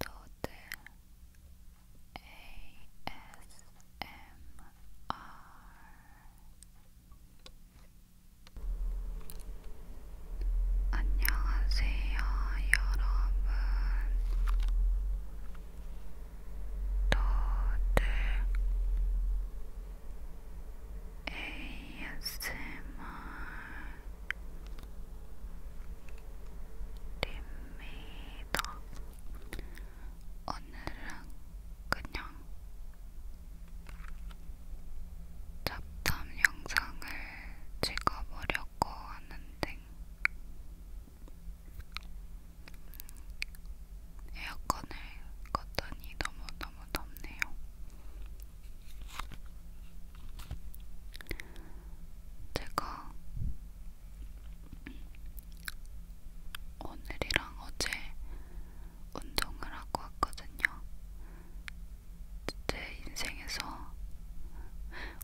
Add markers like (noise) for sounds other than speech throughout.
도들 ASMR 안녕하세요, 여러분. 도들 ASMR 됩니다. 오늘은 그냥 잡담 영상을 찍어보려고 하는데 에어컨을 껐더니 너무너무 덥네요. 제가 오늘이랑 어제 운동을 하고 왔거든요. 제 인생에서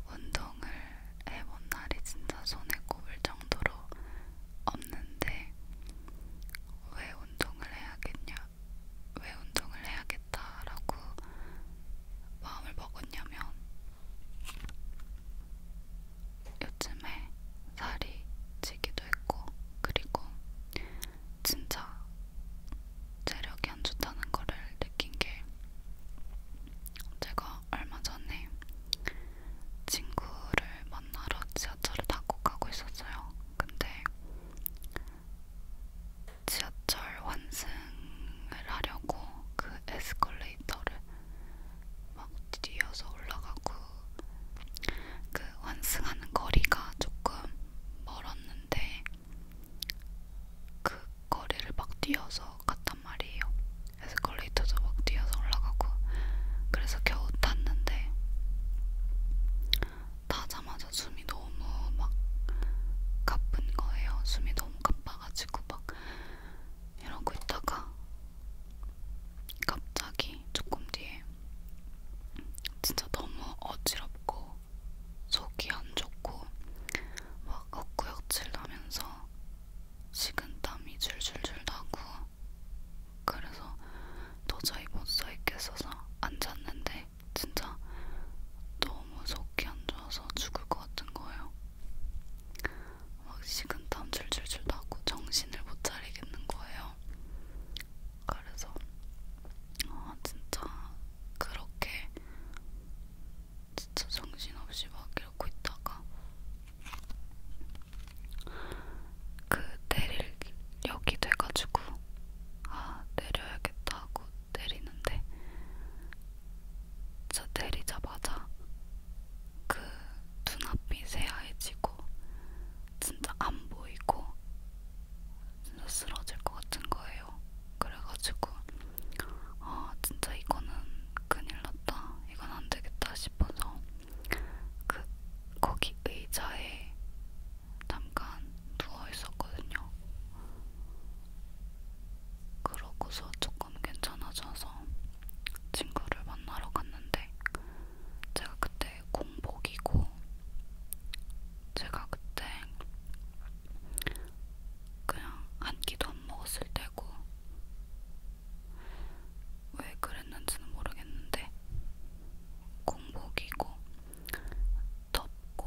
운동을 해본 날이 진짜 손에 꼽을 정도로 없는데 왜 운동을 해야겠냐, 왜 운동을 해야겠다라고 마음을 먹었냐면 요즘에 살이 찌기도 했고 그리고 진짜 체력이 안 좋다는 거를 느낀 게 제가 얼마 전에 친구를 만나러 지하철을 타고 가고 있었어요. 근데 지하철 환승을 하려고 그 에스컬레이터를 막 뛰어서 올라가고 그 환승하는 거리가 조금 멀었는데 그 거리를 막 뛰어서 갔단 말이에요. 에스컬레이터도 막 뛰어서 올라가고 그래서 겨우 탔는데 타자마자 맞아 숨이 너무 막 가쁜 거예요. 숨이 너무 가빠가지고 막 이러고 있다가 갑자기 조금 뒤에 진짜 너무 어지럽고 속이 안 좋고 막 헛구역질 나면서 식은땀이 줄줄줄 나고 그래서 도저히 못 서 있겠어서 앉았는데 진짜 너무 속이 안 좋아서 죽을 것 같은 거예요. 막 식은땀 줄줄줄 나고 정신을 못 차리겠는 거예요. 그래서 아 진짜 그렇게 진짜 정신없이 막 이러고 있다가 그 내릴 역이 돼가지고 아 내려야겠다 하고 때리는데 저 때리자마자 그 눈앞이 새하얘지고 진짜 안 보이고 진짜 쓰러질 것 같은 거예요. 그래가지고 아 진짜 이거는 큰일 났다. 이건 안 되겠다 싶어서 그 거기 의자에 잠깐 누워 있었거든요. 그러고서 조금 괜찮아져서 친구를 만나러 갔는데 제가 그때 공복이고 제가 그때 그냥 한 끼도 안 먹었을 때고 왜 그랬는지는 모르겠는데 공복이고 덥고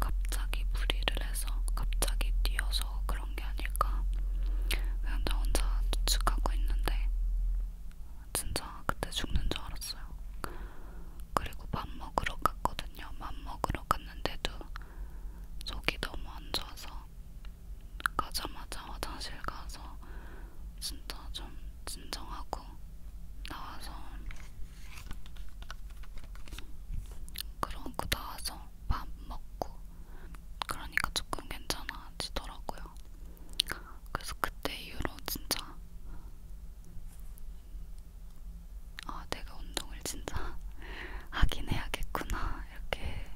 갑자기 무리를 해서 갑자기 뛰어서 그런 게 아닐까 그냥 나 혼자 추측하고 있는데 진짜 그때 죽는 줄 알았어요. 그리고 밥 먹으러 갔거든요. 밥 먹으러 갔는데도 속이 너무 안 좋아서 가자마자 화장실 가서 진짜 좀 진정하고 나와서 그러고 나서 밥 먹고 그러니까 조금 괜찮아지더라고요. 그래서 그때 이후로 진짜 아 내가 운동을 진짜 (laughs) 하긴 해야겠구나 이렇게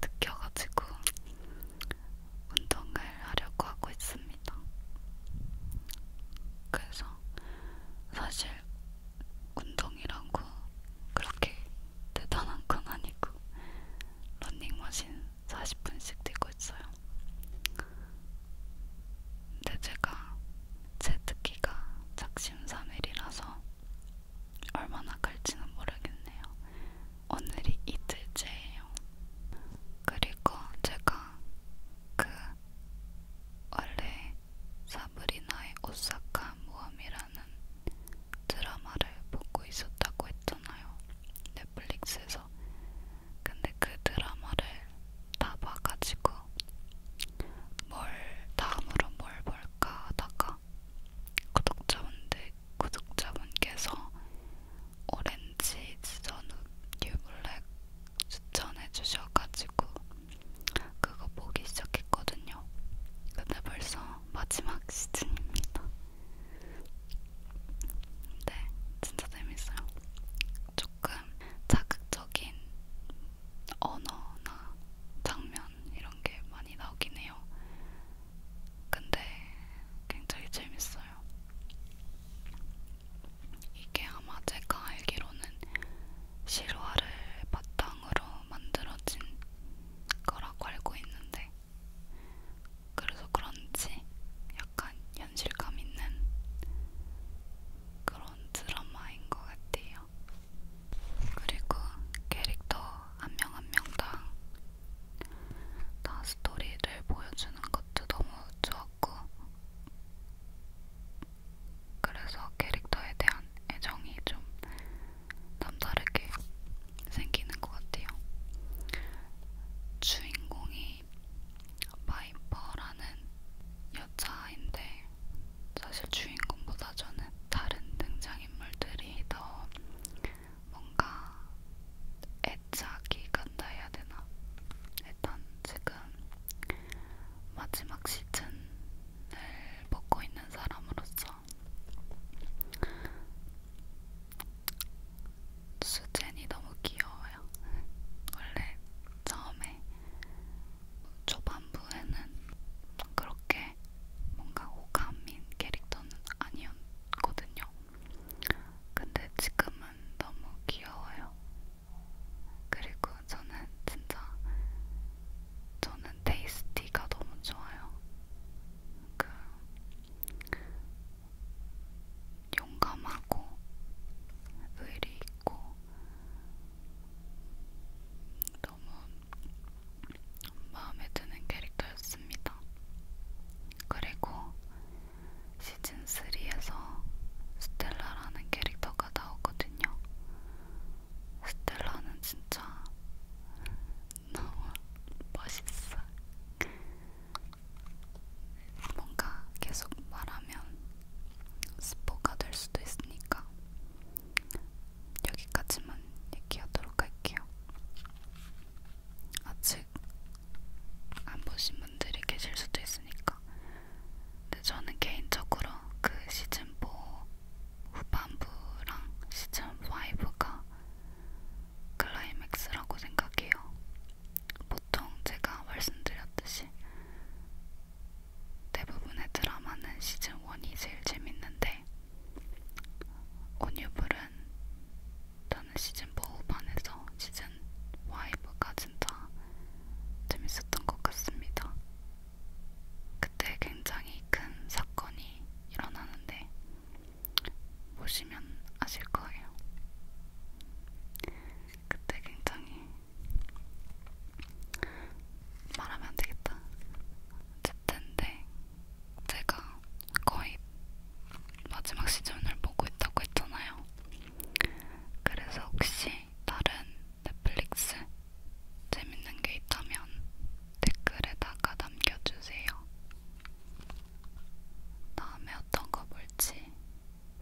느껴가지고 운동을 하려고 하고 있습니다. 그래서 사실 운동이라고 그렇게 대단한 건 아니고 러닝머신 40분씩 뛰고 있어요. 근데 제가 제 특기가 작심삼일이라서 얼마나 갈지는 모르겠네요. 오늘이 이틀째예요. 그리고 제가 그 원래 사브리나의 오사카 모험이라는 드라마를 보고 있었다고 했잖아요. 넷플릭스에서. 근데 그 드라마를 다 봐가지고 뭘 다음으로 뭘 볼까 하다가 구독자분들, 구독자분께서 오렌지 지저우 뉴블랙 추천해주셔가지고 그거 보기 시작했거든요. 근데 벌써 마지막 시즌입니다. 네, 진짜 재밌어요. 조금 자극적인 언어나 장면 이런 게 많이 나오긴 해요. 근데 굉장히 재밌어요. 이게 아마 제가 알기로는 실화를 바탕으로 만들어진 거라고 알고 있는데 그래서 그런지 약간 현실감 있는 그런 드라마인 것 같아요. 그리고 캐릭터 한 명한 한 명당 다 스토리를 보여주는 것도 너무 좋았고 그래서 캐릭터에 대한 애정이 좀 남다르게 생기는 것 같아요. 주인공이 바이퍼라는 여자인데 사실 주인공보다 저는 다른 등장인물들이 더 뭔가 애착이 간다 해야 되나? 일단 지금 마지막 시즌을 먹고 있는 사람으로서 수젠이 너무 귀여워요. 원래 처음에 초반부에는 그렇게 뭔가 호감인 캐릭터는 아니었거든요. 근데 지금은 너무 귀여워요. 그리고 저는 진짜 저는 테이스티가 너무 좋아요. 그 용감하고 의리 있고 너무 마음에 드는 캐릭터였습니다. 그리고 시즌3에서 스텔라라는 캐릭터가 나오거든요. 스텔라는 진짜 너무 멋있어. 뭔가 계속 말하면 스포가 될 수도 있으니까 여기까지만 얘기하도록 할게요. 아직 안 보신 분들이 계실 수도 있으니까. 근데 저는 개인적으로 그 시즌 4 후반부랑 시즌 5가 클라이맥스라고 생각해요. 보통 제가 말씀드렸듯이 대부분의 드라마는 시즌 1이 제일 재밌는데 온유불은 저는 시즌 4 후반에서 시즌 5까진 다 재밌었던 것 같습니다. 그때 굉장히 큰 사건이 일어나는데 보시면 아실 거예요. 그때 굉장히 말하면 안 되겠다. 어쨌든 네, 제가 거의 마지막 시즌을 보고 있다고 했잖아요. 그래서 혹시 다른 넷플릭스 재밌는 게 있다면 댓글에다가 남겨주세요. 다음에 어떤 거 볼지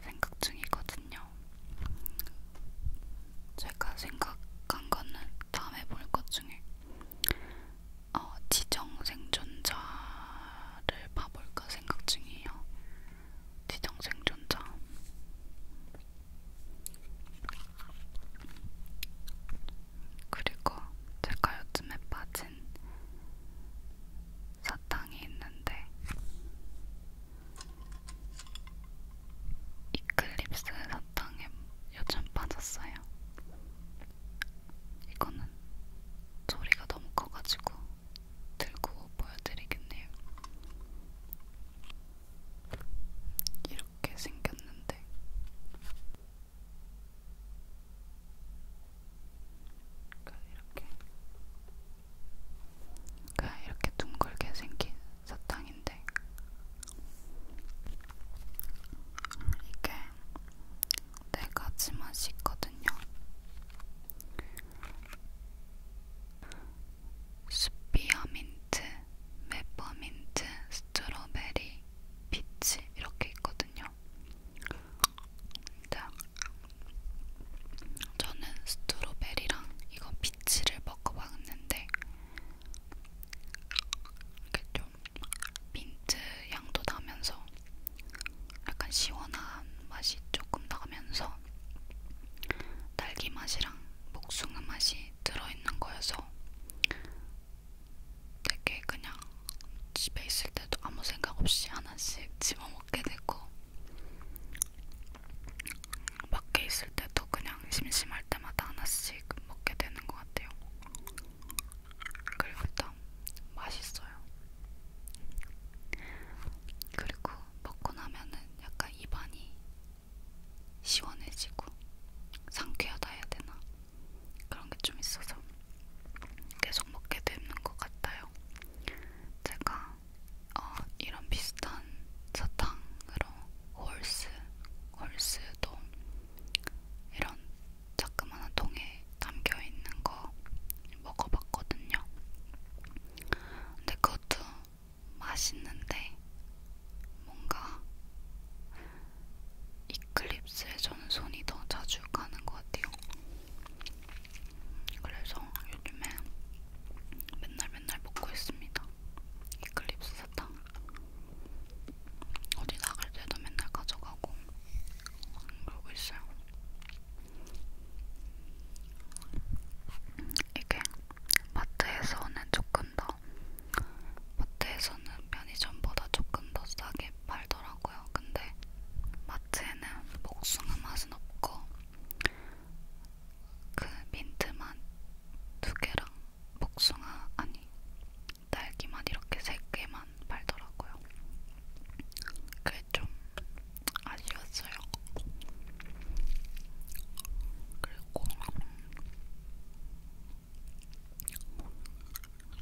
생각 중이거든요. 제가 생각한 거는 다음에 볼 것 중에 어, 지정생존자 영화를 봐볼까 생각 중이에요. 지정 생존자. 그리고 제가 요즘에 빠진 사탕이 있는데 이클립스 사탕에 요즘 빠졌어요. 이거는 소리가 너무 커가지고 들고 보여드리겠네요. 이렇게 생겼는데 그러니까 이렇게 그러니까 이렇게 둥글게 생긴 사탕인데 이게 네 가지 맛이 있거든요. 스피어민트, 메퍼민트, 스트로베리, 피치 이렇게 있거든요. 자, 저는 스트로베리랑 이거 피치를 먹어봤는데 이렇게 좀 민트 향도 나면서 약간 시원한 맛이 조금 나면서 딸기 맛이랑 복숭아 맛이 들어있는 거여서 되게 그냥 집에 있을 때도 아무 생각 없이 하나씩 집어 먹게 되고 밖에 있을 때도 그냥 심심할 때마다 하나씩 먹게 되는 것 같아요. 그리고 딱 맛있어요. 그리고 먹고 나면은 약간 입안이 시원해지고 상쾌하다 해야 되나 그런 게 좀 있어서 계속 먹게 되는 것 같아요. 제가 어, 이런 비슷한 사탕으로 홀스, 홀스도 이런 자그마한 통에 담겨있는 거 먹어봤거든요. 근데 그것도 맛있는데 뭔가 이클립스에 저는 손이 더 자주 가는 것 같아요. 그래서 요즘에 맨날 맨날 먹고 있습니다. 이클립스 사탕. 어디 나갈 때도 맨날 가져가고 그러고 있어요. 이게 마트에서는 조금 더 마트에서는 편의점보다 조금 더 싸게 팔더라고요. 근데 마트에는 복숭아 맛은 없고 그 민트 맛두 개랑 복숭아 아니 딸기 맛 이렇게 세 개만 팔더라고요. 그게 좀 아쉬웠어요. 그리고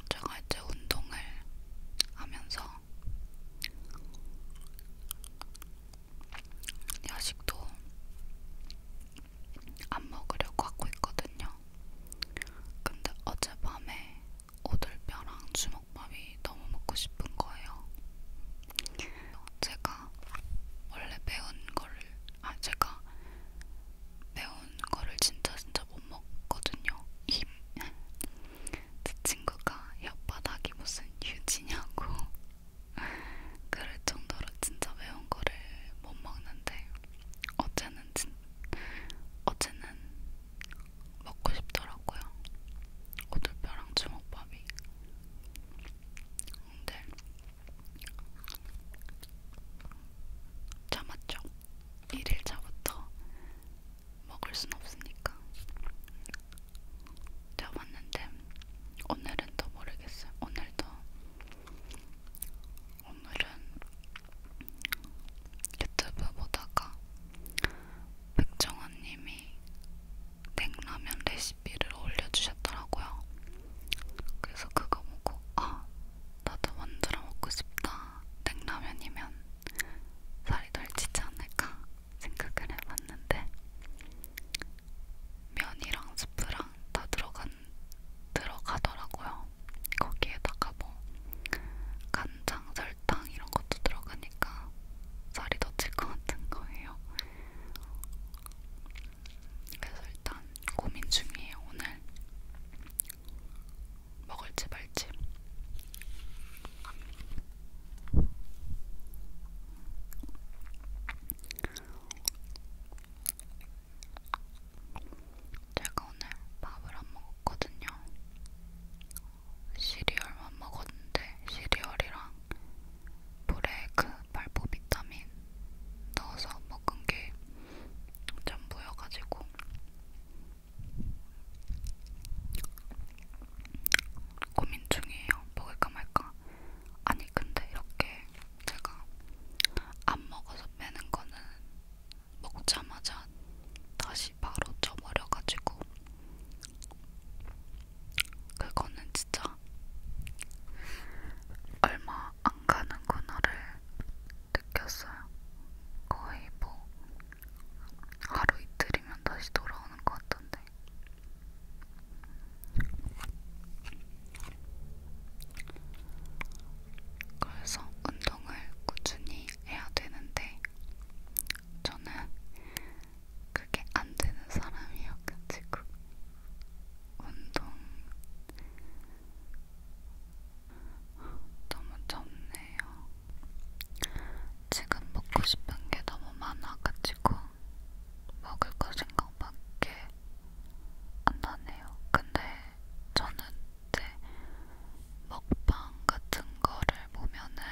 제가 이제 운동을 하면서 야식도 안 먹으려고 하고 있거든요. 근데 어젯밤에 오돌뼈랑 주먹밥이 너무 먹고 싶은 거예요. 제가 원래 매운 거를 아 제가 매운 거를 진짜 진짜 못 먹거든요. 입. 제 친구가 혓바닥이 무슨 유지냐고 (laughs) 그럴 정도로 진짜 매운 거를 못 먹는데 어제는 진 어제는 먹고 싶더라고요. 오돌뼈랑 주먹밥이. 근데 참았죠. 1일차부터 먹을 순 없으니까. 참았는데 오늘은 더 모르겠어요. 오늘도 오늘은 유튜브 보다가 백종원님이 냉라면 레시피를 올려주셨더라고요. 그래서 그거 보고 아 나도 만들어 먹고 싶다. 냉라면이면 살이 덜 찌지 않을까 생각을 해봤는데 면이랑 스프랑 다 들어간 들어가더라고요. 있어요. 거기에다가 뭐 간장, 설탕 이런 것도 들어가니까 살이 더찔것 같은 거예요. 그래서 일단 고민 중이에요. 오늘 먹을지 말지. 제가 오늘 밥을 안 먹었거든요. 시리얼만 먹었는데 시리얼이랑 물에 그 발포 비타민 넣어서 먹은 게좀 보여가지고 고민 중이에요. 먹을까 말까. 아니 근데 이렇게 제가 안 먹어서 빼는 거는 먹자마자 다시 바로 쪄버려가지고 그거는 진짜 얼마 안 가는구나를 느꼈어요. 거의 뭐 하루 이틀이면 다시 돌아오는 것 같던데. 그래서 운동을 꾸준히 해야 되는데 저는 그게 안 되는 사람이어가지고 운동 너무 덥네요. 지금 먹고 싶은 게 너무 많아가지고 먹을 거 생각밖에 안 나네요. 근데 저는 이제 먹방 같은 거를 보면은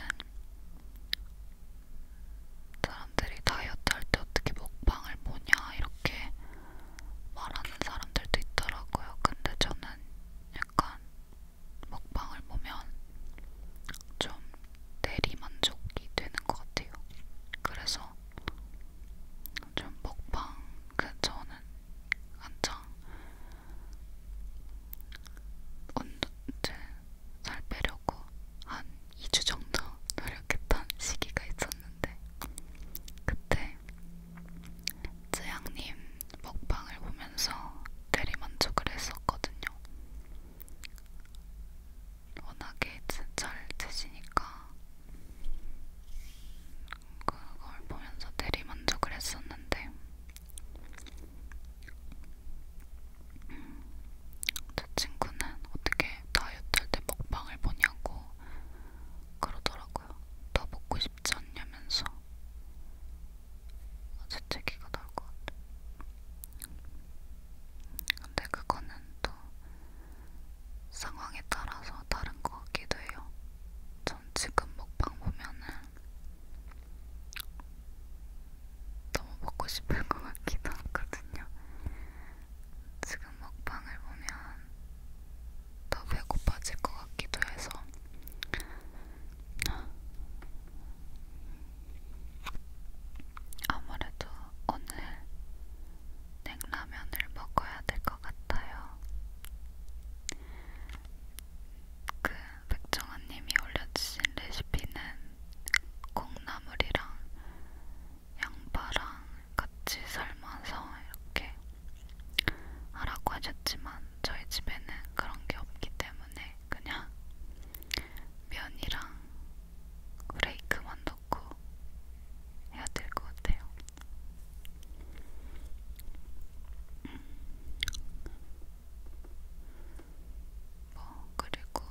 사람들이 다이어트 할때 어떻게 먹방을 보냐 이렇게 말하는 사람들도 있더라고요. 근데 저는 약간 먹방을 보면 좀 대리만족이 되는 것 같아요. 그래서 좀 먹방, 그 저는 한창 언제 살 빼려고 한 2주 정도 노력했던 시기가 있었는데 그때 쯔양님 먹방을 보면서 대리만족을 했었거든요. 워낙에 잘 드시니까 그걸 보면서 대리만족을 했었는데 음, 저 친구는 어떻게 다이어트할 때 먹방을 보냐고 그러더라고요. 더 먹고 싶지 않냐면서 재채기가 나올 것 같아. 근데 그거는 또 상황에 따라서 다른 것 같기도 해요. 저전 지금 먹방 보면은 너무 먹고 싶을 것 같기도 하거든요. 지금 먹방을 보면 더 배고파질 것 같기도 해서 아무래도 오늘 냉라면을 먹어야 될 것 같아요. 그 백종원님이 올려주신 레시피는 콩나물이랑 양파랑 같이 삶아서 이렇게 하라고 하셨지만 저희 집에는 그런 게 없기 때문에 그냥 면이랑 브레이크만 넣고 해야 될 것 같아요. 뭐 그리고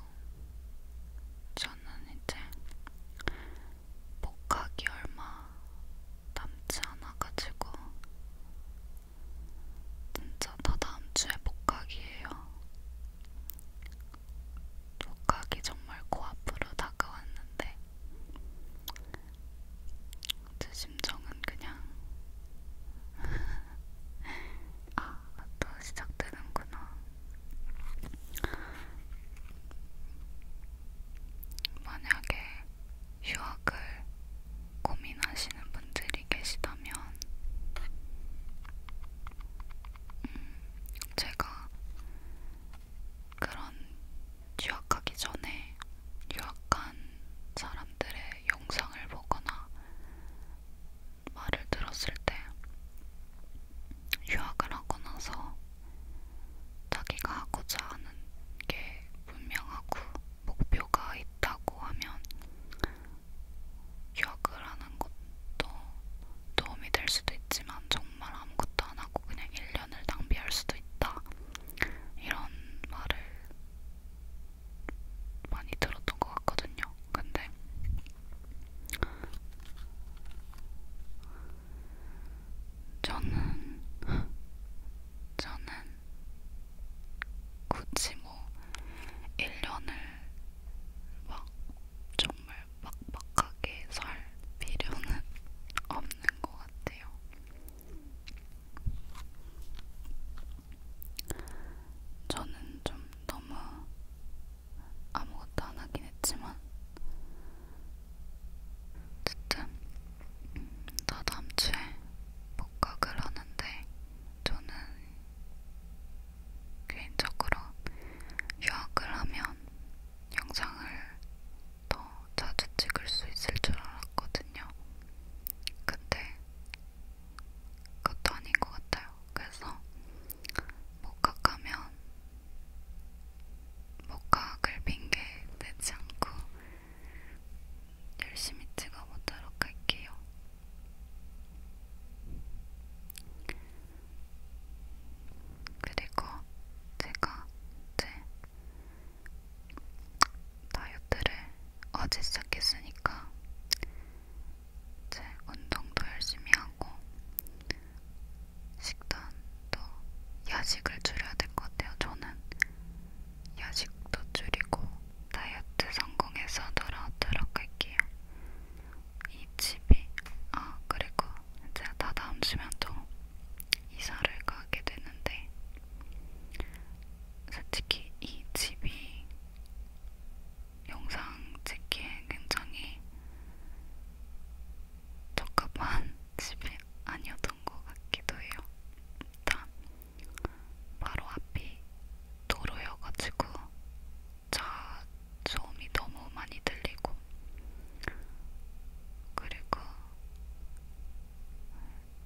저는 이제 복학이 얼마 남지 않아가지고 진짜 다 다음 주에 복학이에요. 복학이 정말 코앞으로 다가왔는데 제 심정은 그냥 (laughs) 아, 또 시작되는구나. 만약에 휴학을 고민하시는 분들이 계시다면 음, 제가 그런 유학하기 전에 유학한 사람들의 영상을 보거나 말을 들었을 때 유학을 하고 나서 자기가 하고자 하는 게 분명하고 목표가 있다고 하면 유학을 하는 것도 도움이 될 수도 있지만 정말 아무것도 안 하고 그냥 1년을 낭비할 수도 있다 이런 말을 많이 들었던 것 같거든요. 근데 저는 저는 굳이 뭐 1년을 막 정말 막막하게 살 필요는 (laughs) 없는 것 같아요. 저는 좀 너무 아무것도 안 하긴 했지만 어쨌든 음, 나 다음 주에 복학을 하는데 저는 개인적으로 유학을 하면 영상을 더 자주 찍을 수 있을 줄 알았거든요. 근데 그것도 아닌 것 같아요. 그래서 목각하면 목각을 핑계 내지 않고 열심히 찍어보도록 할게요. 그리고 제가 이제 다이어트를 어제 시작했으니까 이제 운동도 열심히 하고 식단도 야식을 줄여야 될 것 같아요. 저는 야식도 줄이고 다이어트 성공해서 돌아오도록 할게요. 이 집이 아 그리고 이제 다 다음 주면 또 이사를 가게 되는데 솔직히 이 집이 영상 찍기에 굉장히 적합한 (laughs) 집이 아니었던 것 같기도 해요. 일단 바로 앞이 도로여가지고 차 소음이 너무 많이 들리고 그리고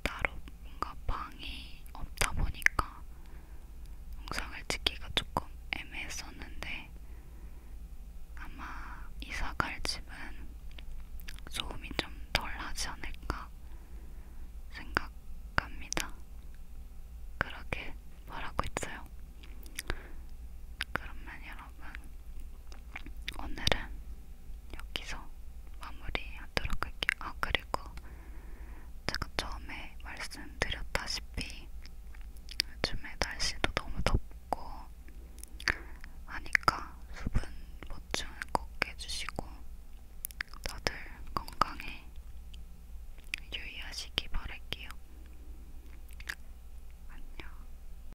따로 뭔가 방이 없다 보니까 영상을 찍기가 조금 애매했었는데 아마 이사갈 집은 소음이 좀 덜 하지 않을까 생각합니다. 그렇게 말하고 있어요. 그러면 여러분 여러분, 오늘은 여기서 마무리하도록 할게요. 아 그리고 제가 처음에 말씀드렸다시피 요즘에 날씨도 너무 덥고 하니까 수분 보충을 꼭 해주시고 다들 건강에 유의하시기 바랄게요. 안녕.